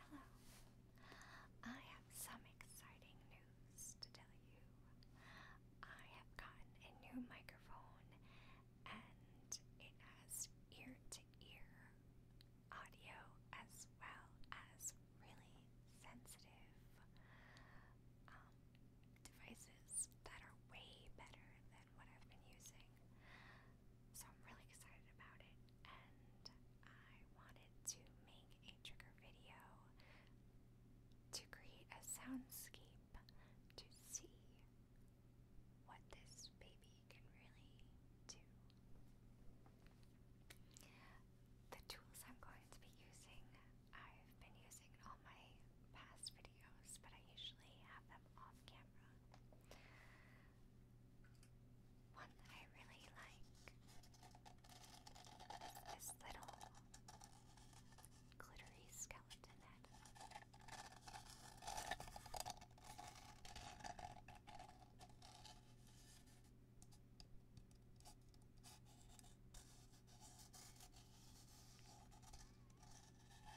Hello. I have some exciting news to tell you. I have gotten a new microphone and it has ear to ear audio as well as really sensitive um, devices that are way better than what I've been using. So I'm really excited about it, and I wanted to make a trigger video to create a soundscape to see what this baby can really do. The tools I'm going to be using, I've been using in all my past videos, but I usually have them off camera. One that I really like is little glittery skeleton head. I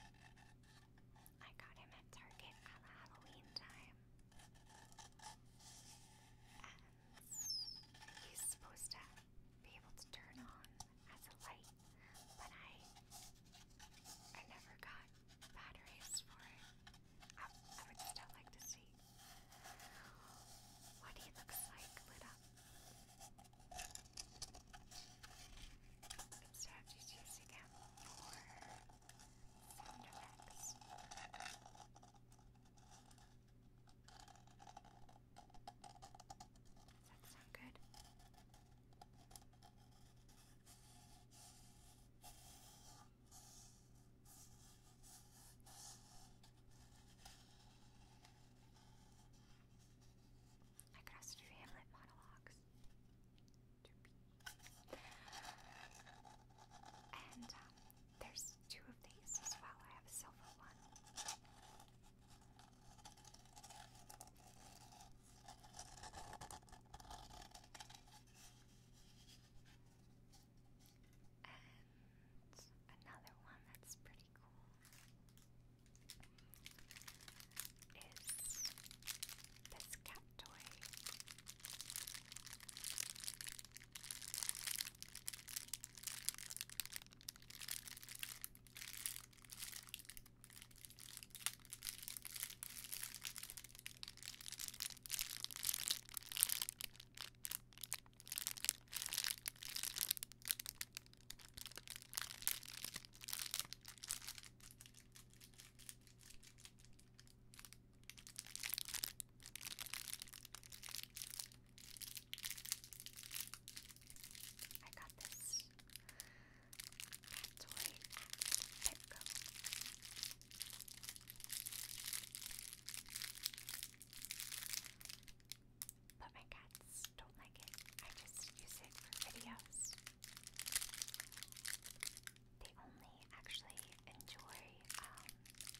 got him at Target at Halloween time. And he's supposed to be able to turn on as a light, but I I never got batteries for it. I, would still like to see what he looks like lit up strategies using him for sound effects. Does that sound good? Okay, I could also do monologues. And um, there's two of these as well. I have a silver one. And another one that's pretty cool is this cat toy. I got this cat toy at Petco. But my cats just don't like it. I just use it for videos. They only actually enjoy um,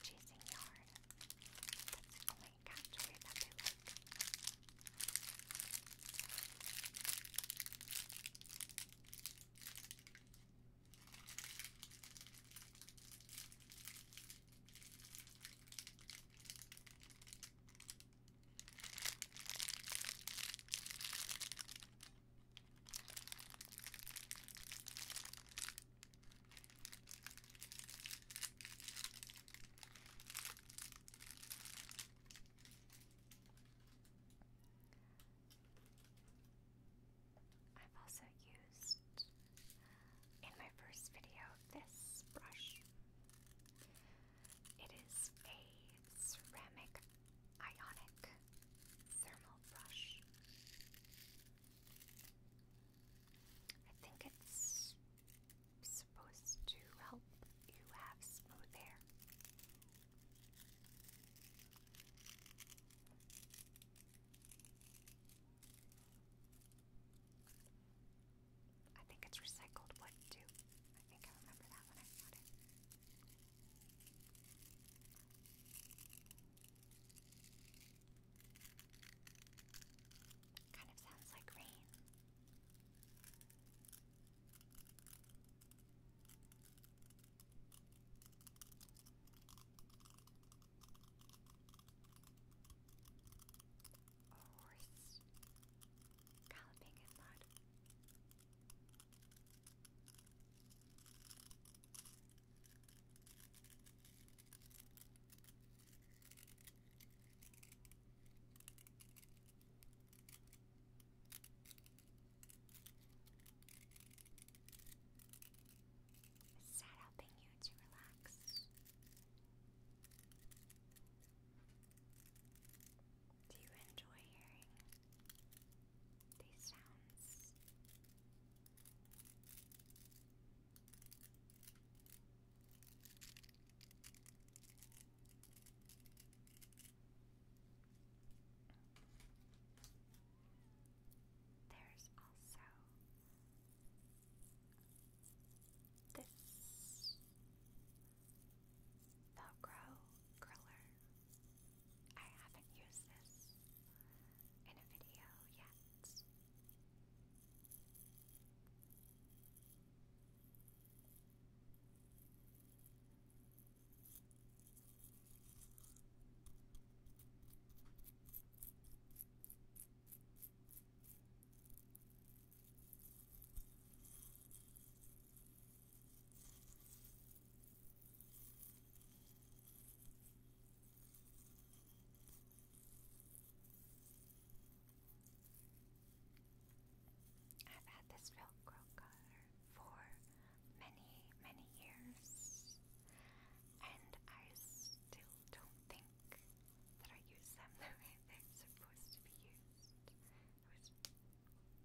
chasing yard. That's the only category that they like. I've also used in my first video this brush. It is a ceramic ionic thermal brush. I think it's supposed to help you have smooth hair. I think it's recycled wood too. I think I remember that when I bought it. Kind of sounds like rain a horse galloping in mud. Is that helping you to relax? Do you enjoy hearing these sounds? There's also this Velcro curler. I haven't used this in a video yet. I've had this Velcro color for many, many years, and I still don't think that I use them the way they're supposed to be used.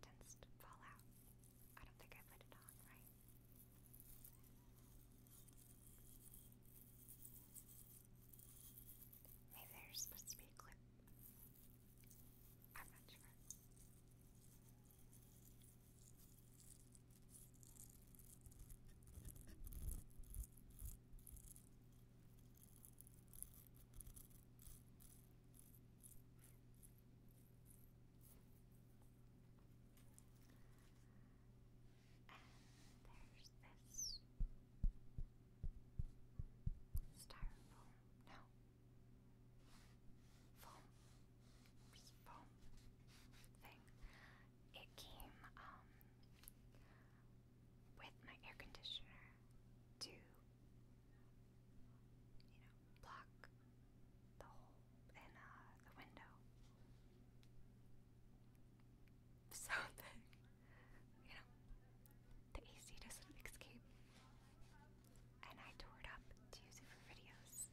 tends to fall out. I don't think I put it on right. Maybe there's supposed to be a clip. I'm not sure. And there's this styrofoam. No. Foam. Foam thing it came um, with my air conditioner to, you know, block the hole in uh, the window. So you know, the AC doesn't escape. And I tore it up to use it for videos.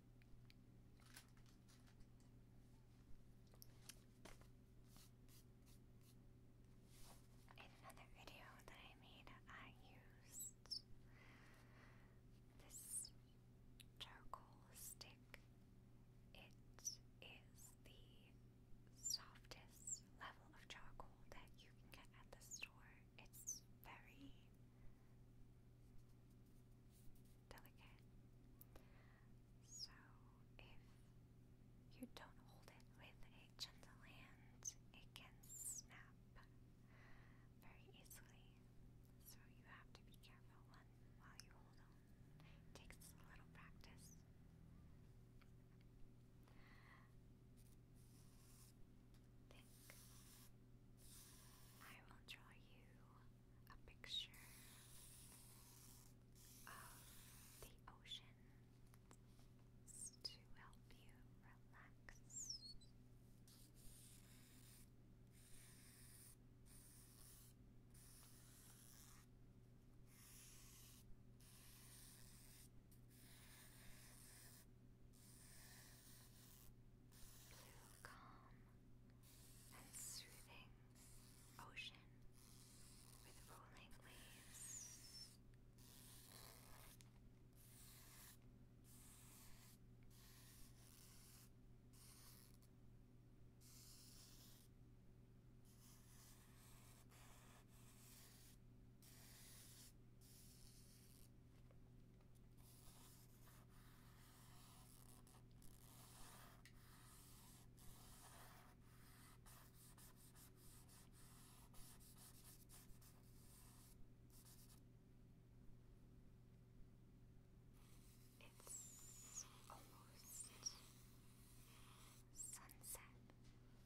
In another video that I made, I used this charcoal stick. It is the softest level of charcoal that you can get at the store. It's very delicate. So if you don't hold it with gentle hand, it can snap very easily. So you have to be careful while you hold It takes a little practice thick. I will draw you a picture of the oceans to help you relax blue calm and soothing ocean with rolling waves. It's almost sunset.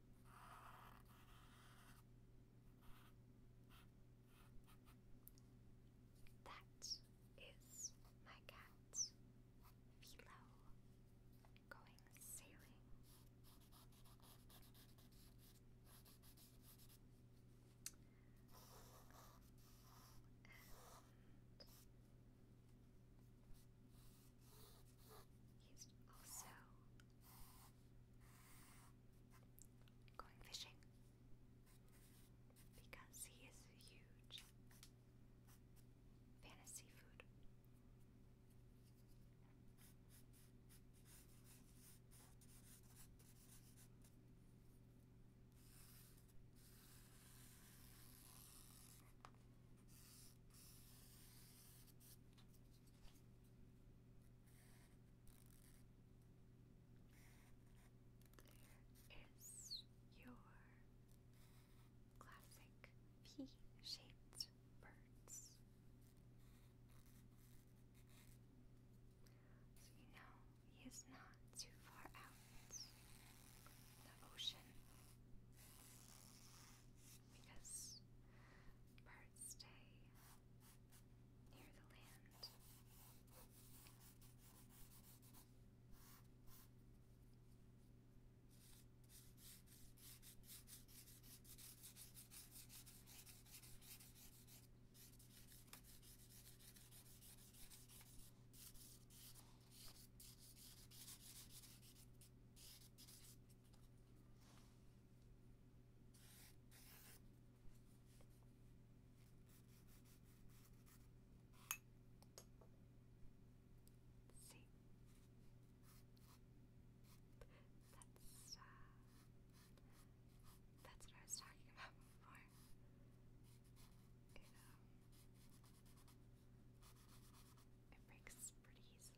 That is my cat, Philo, going sailing. he's also going fishing because he is huge fan of there is your classic P-shaped birds. you know he is not too far out the ocean because birds stay near the land. Let's see. That's uh, that's what I was talking about before. it breaks pretty easily.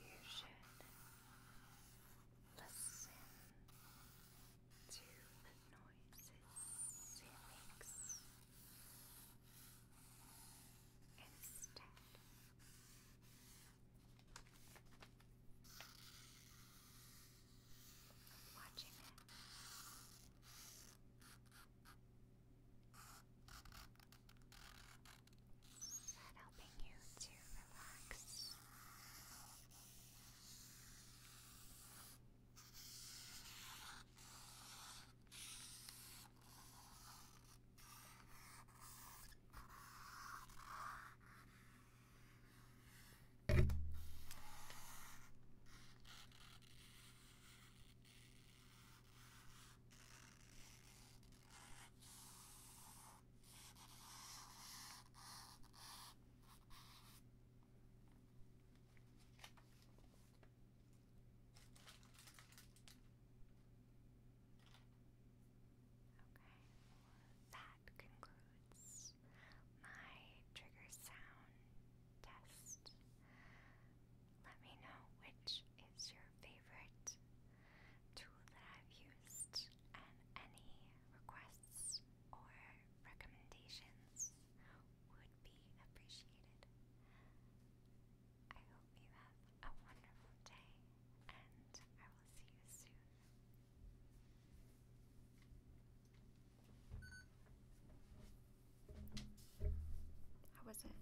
you should listen to the noises it makes instead. Of watching it. Is that helping you to relax? Okay, that concludes my trigger sound test. Let me know which is your favorite tool that I've used and any requests or recommendations would be appreciated. I hope you have a wonderful day and I will see you soon. How was it?